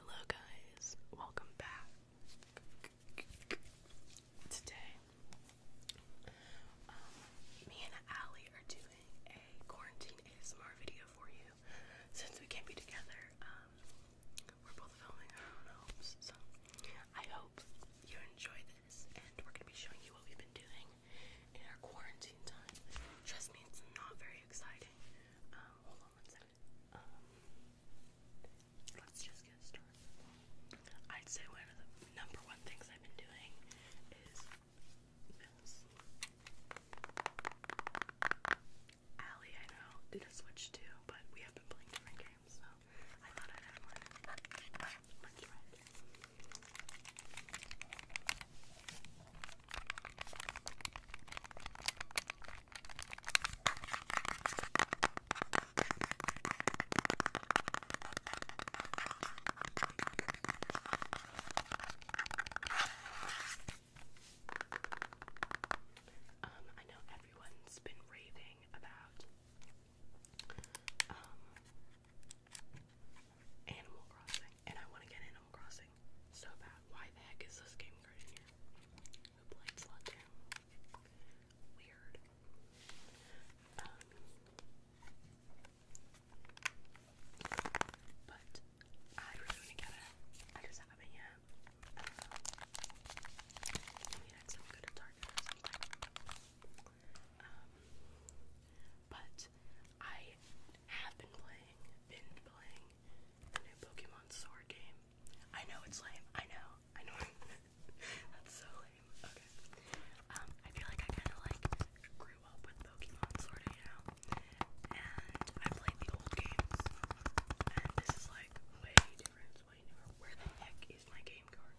Hello, guys, welcome back. Today, um, me and Allie are doing a quarantine ASMR video for you. Since we can't be together, um, we're both filming our own homes, so I hope you enjoy this. And we're gonna be showing you what we've been doing in our quarantine time. Trust me, it's not very exciting. Um, um, let's just get started. I'd say one of the number one things I've been doing is Allie, I know, did a switch too, but we have been playing different games, so I thought I'd have one. Um, I know everyone's been raving about um, Animal Crossing. And I want to get Animal Crossing so bad. Why the heck is this game great? Who played Slutdown? Weird. Um, but I really want to get it. I just haven't yet. we go to Target or um, but I have been playing, been playing the new Pokemon Sword game. I know it's lame. I know. I know. That's so lame. Okay. Um, I feel like I kind of like grew up with Pokemon Sword, you know, and I played the old games, and this is like way different, Where the heck is my game card?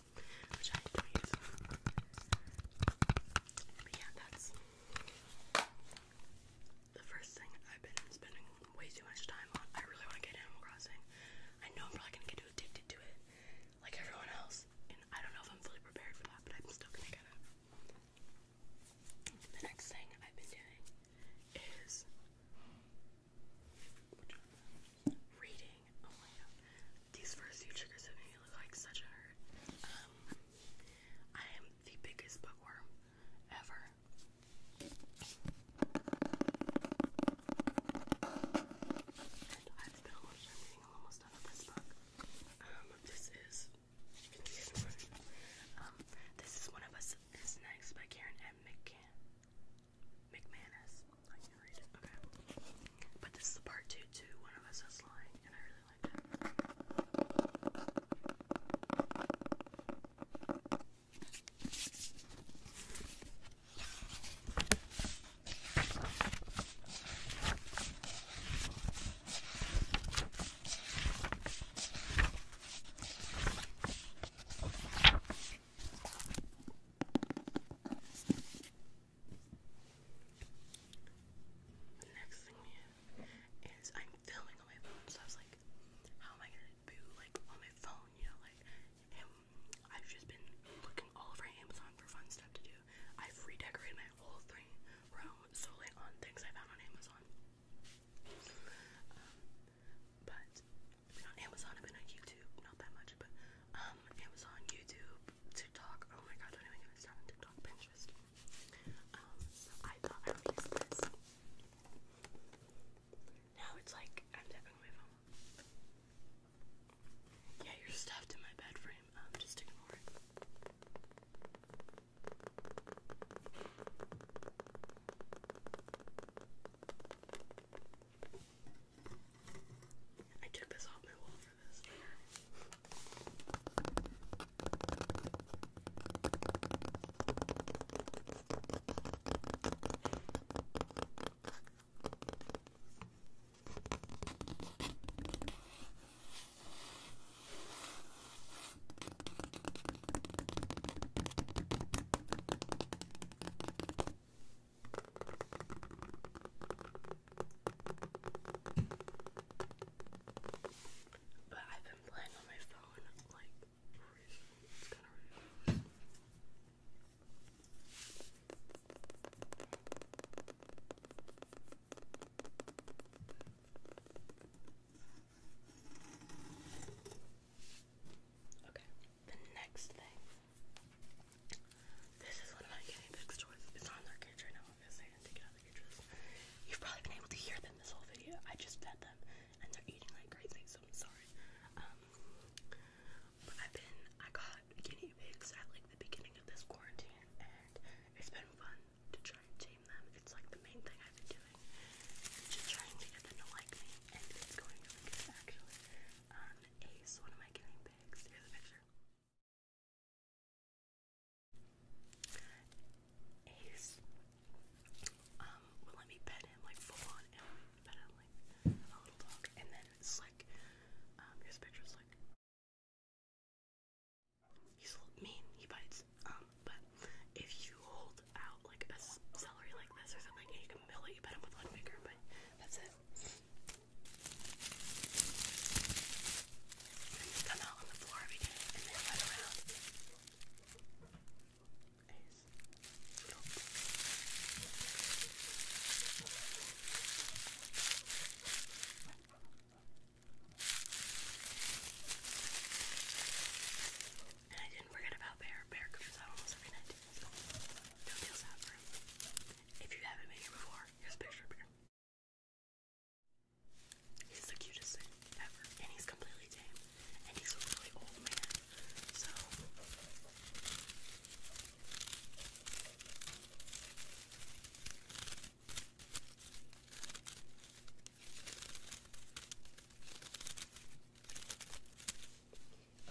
the first thing I've been spending way too much time on. I really want to get Animal Crossing. I know I'm probably gonna get too addicted to it, like everyone else, and I don't know if I'm fully prepared for that, but I'm still gonna get it. The next thing I've been doing is Reading. Oh my god. These first few triggers have made me look like such a nerd. Um, I am the biggest bookworm ever. And I've spent a lot reading. almost done with this book. Um, this is. You um, this is One of Us Is Next by Karen M. McCann. McManus. Okay. But this is the part two too. One of us is lying, and I really like that. The next thing is I'm filming on my phone, so I was like, how am I gonna do like on my phone? You know, like I've just been looking all over Amazon for fun stuff to do. I've redecorated my whole thing around solely on things I found on Amazon. Um, but been on Amazon, I've been on YouTube, not that much, but um, Amazon, YouTube, TikTok, oh my god, don't even get me started on TikTok, Pinterest. Um, so I thought I would use this. Now it's like, I'm tapping my phone. Yeah, you're stuffed in my bed frame, um, just ignoring it. I took this off my wall for this. I but I've been playing on my phone like recently. It's kind of ridiculous. Okay, the next thing. This is one of my guinea pig's toys. It's not their cage right now, obviously. I didn't take it out of the cage You've probably been able to hear them this whole video. I just fed them, and they're eating like crazy, so I'm sorry. Um, but I've been, I got guinea pigs at like the beginning of this quarantine, and it's been fun to try and tame them. It's like the main thing I've been doing just trying to get them to like me, and it's going good actually. Ace, one of my guinea pigs. Here's a picture. Ace, um, would let me pet him like full on, pet him like a little dog. And then Slick, um, here's a picture of Slick. He's a little mean. He bites. Um, them. But if you hold out like a celery like this or something, you can mill it, you bet them with one finger. But that's it. And I didn't forget about Bear. Bear comes out almost every night. No deals out for him. If you haven't been here before, here's a picture of Bear. He's the cutest ever, and he's completely tame, and he's a really old man. So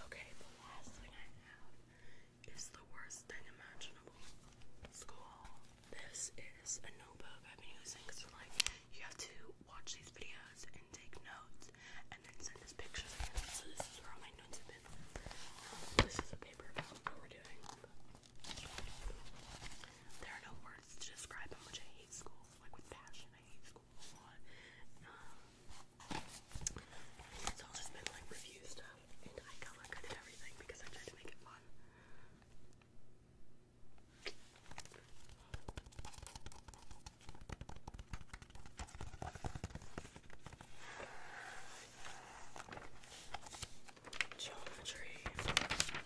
Okay, the last thing I have is the worst thing imaginable. School. This is a notebook I've been using because like you have to watch these videos and take notes and then send us pictures of them. where all my notes have been. Um, this is a paper about what we're doing. There are no words to describe how much I hate school, like with passion. I hate it's all just been like review stuff, and I color coded everything because I tried to make it fun. Geometry.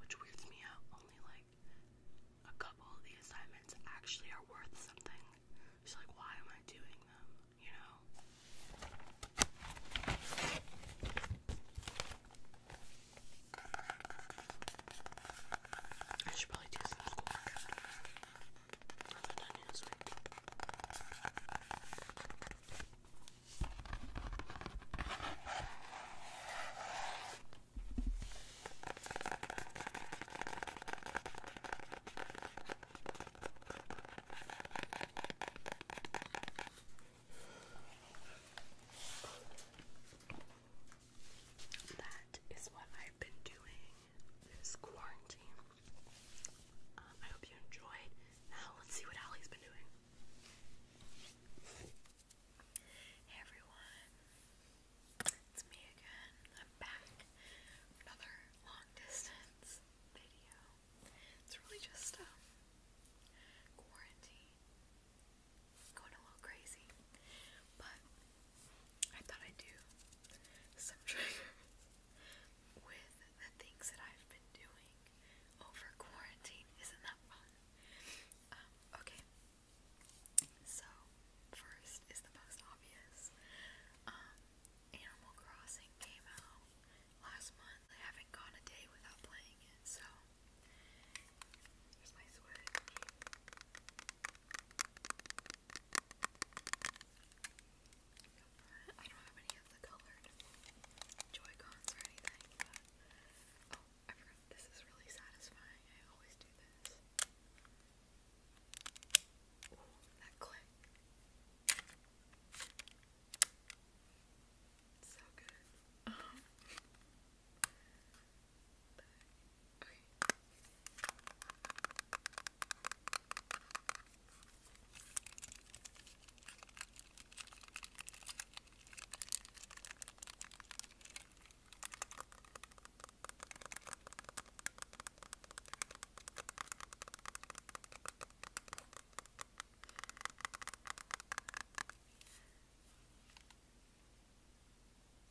which weirds me out. Only like a couple of the assignments actually are worth something. She's like, why am I doing them? You know? I should probably do some schoolwork after I'm done this week. That is what I've been doing this quarantine. Um, I hope you enjoyed. Now let's see what ali has been doing. Hey everyone, it's me again. I'm back another long distance video. It's really just um, quarantine. Going a little crazy. But I thought I'd do some triggers with the things that I've been doing over oh, quarantine. Isn't that fun? Um, okay. So, first is the most obvious. Um, Animal Crossing came out last month. I haven't gone a day without playing it, so here's my Switch. I don't have any of the colored Joy-Cons or anything, Oh, This is really satisfying. I always do this. Ooh, that click. So good. Um, Okay,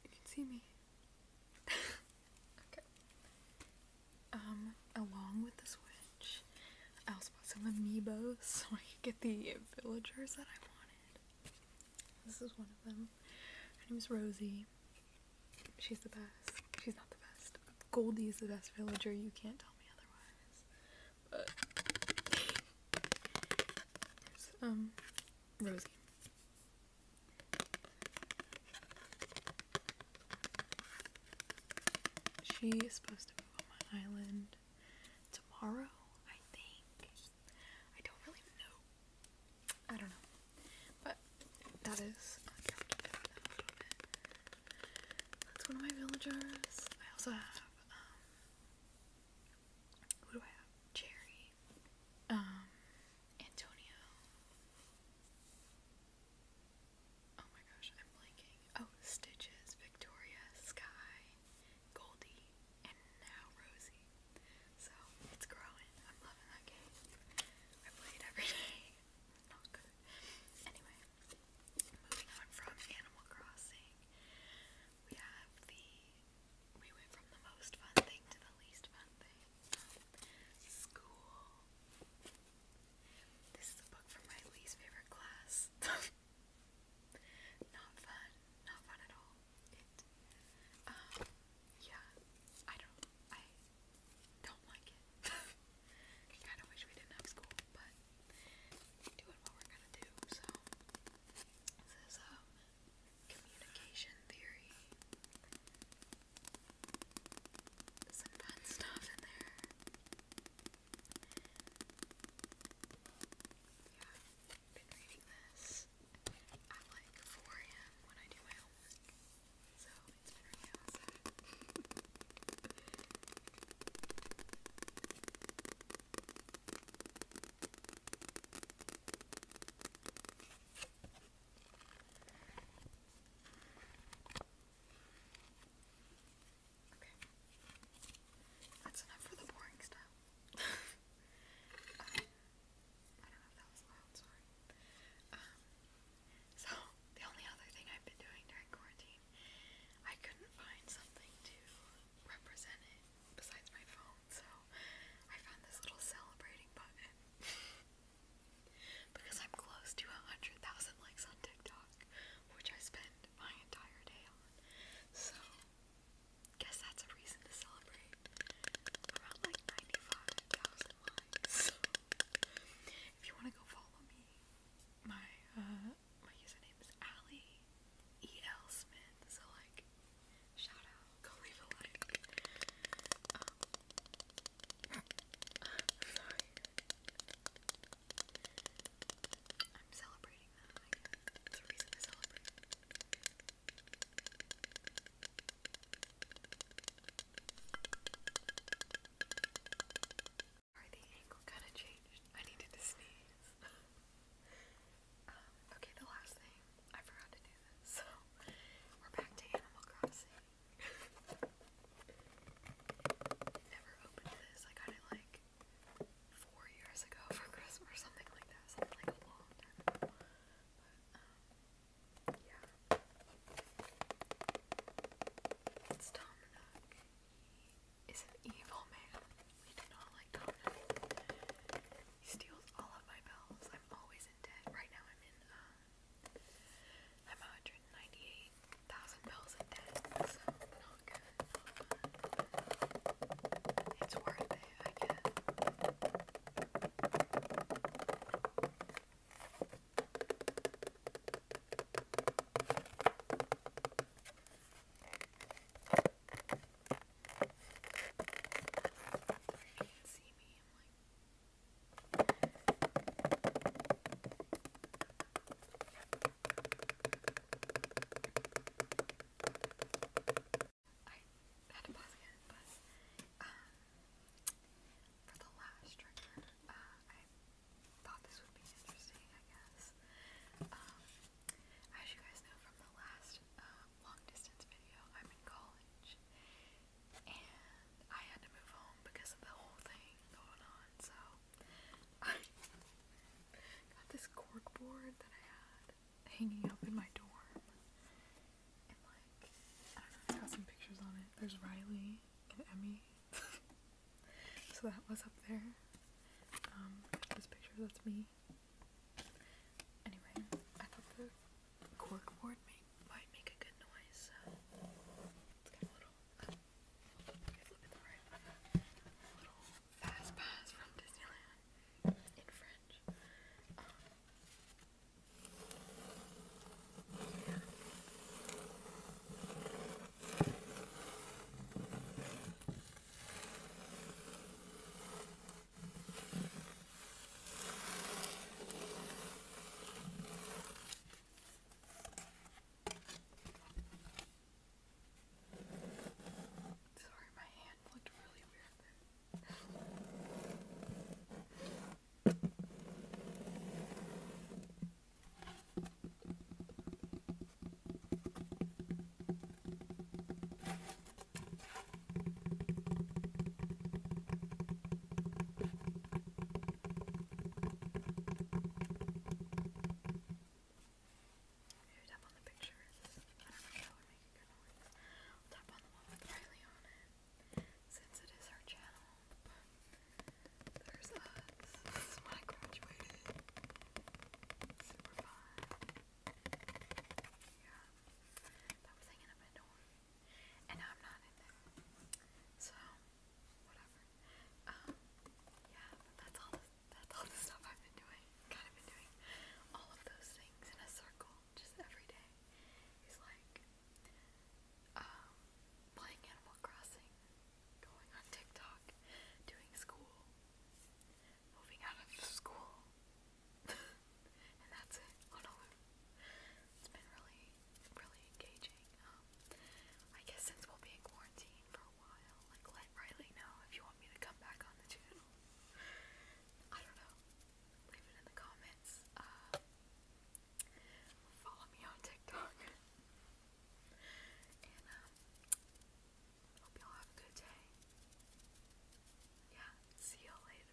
you can see me. okay. Um, along with the switch I also bought some amiibos so I could get the villagers that I wanted. This is one of them. Her name is Rosie. She's the best. She's not the best. Goldie is the best villager. You can't tell me otherwise. But um Rosie. She is supposed to move on my island tomorrow, I think. I don't really know. I don't know. But that is That's one of my villagers. I also have um who do I have? Cherry. Um Antonio. Oh my gosh, I'm blanking. Oh, Stitches, Victoria, Sky, Goldie, and now Rosie. So it's growing. I'm loving that game. I play it every day. Not good. Anyway, moving on from Animal Crossing, we have the. We went from the most fun thing to the least fun thing. Um, this is a book from my least favorite class. not fun. Not fun at all. It, um, yeah, I don't, I don't like it. I kind of wish we didn't have school, but we're doing what we're gonna do, so. This is, um, communication theory. Some fun stuff in there. Yeah, i been reading this at like 4 a.m. when I do my homework, so it's been really outside. Okay. That's enough for the boring stuff. I don't know if that was loud, sorry. Um, so, the only other thing I've been doing during quarantine, I couldn't find something to represent it besides my phone, so I found this little celebrating button. because I'm close to 100,000 likes on TikTok, which I spend my entire day on. So, guess that's a reason to celebrate. Around like 95,000 likes. If you want to go follow me, my uh, my username is Allie E L Smith. So like, shout out, go leave a like. Um, I'm sorry. I'm celebrating that. It's a reason to celebrate. Sorry, the angle kind of changed. I needed to sneeze. Um, okay, the last thing. I forgot to do so we're back to Animal Crossing. Never opened this. I got it like four years ago for Christmas or something like that. Something like a long time ago. But um, yeah. It's Dominic. He is an evil man. We do not like Dominic. He steals all of my bells. I'm always in debt. Right now I'm in um, I'm 198,000 bills in debt, It's worth it, I guess. You can see me, I had to pause again, but um, for the last trigger, uh, I thought this would be interesting, I guess. Um, as you guys know from the last uh, long distance video, I'm in college, and I had to move home because of the whole thing going on, so I got this cork board that I had hanging up in my dorm, and like, I don't know, I got some pictures on it. There's Riley and Emmy, so that was up there. Um, this picture, that's me. Anyway, I thought the cork board made might make a good noise, little, fast pass from Disneyland in French. Sorry, my hand looked really weird there. Maybe tap on the pictures. tap on the one with Riley on it. Since it is her channel. There's us. This is when Yeah. That was hanging up and I'm not in there, So whatever. Um, yeah, that's all. The, stuff I've been doing. Kind of been doing all of those things in a circle, just every day. Is like um, playing Animal Crossing, going on TikTok, doing school, moving out of school. and that's it on It's been really really, engaging. Um, I guess since we'll be in quarantine for a while, like let Riley know if you want me to come back on the channel. I don't know. Leave it in the comments. Uh, follow me on TikTok. and um, hope y'all have a good day. Yeah, see y'all later.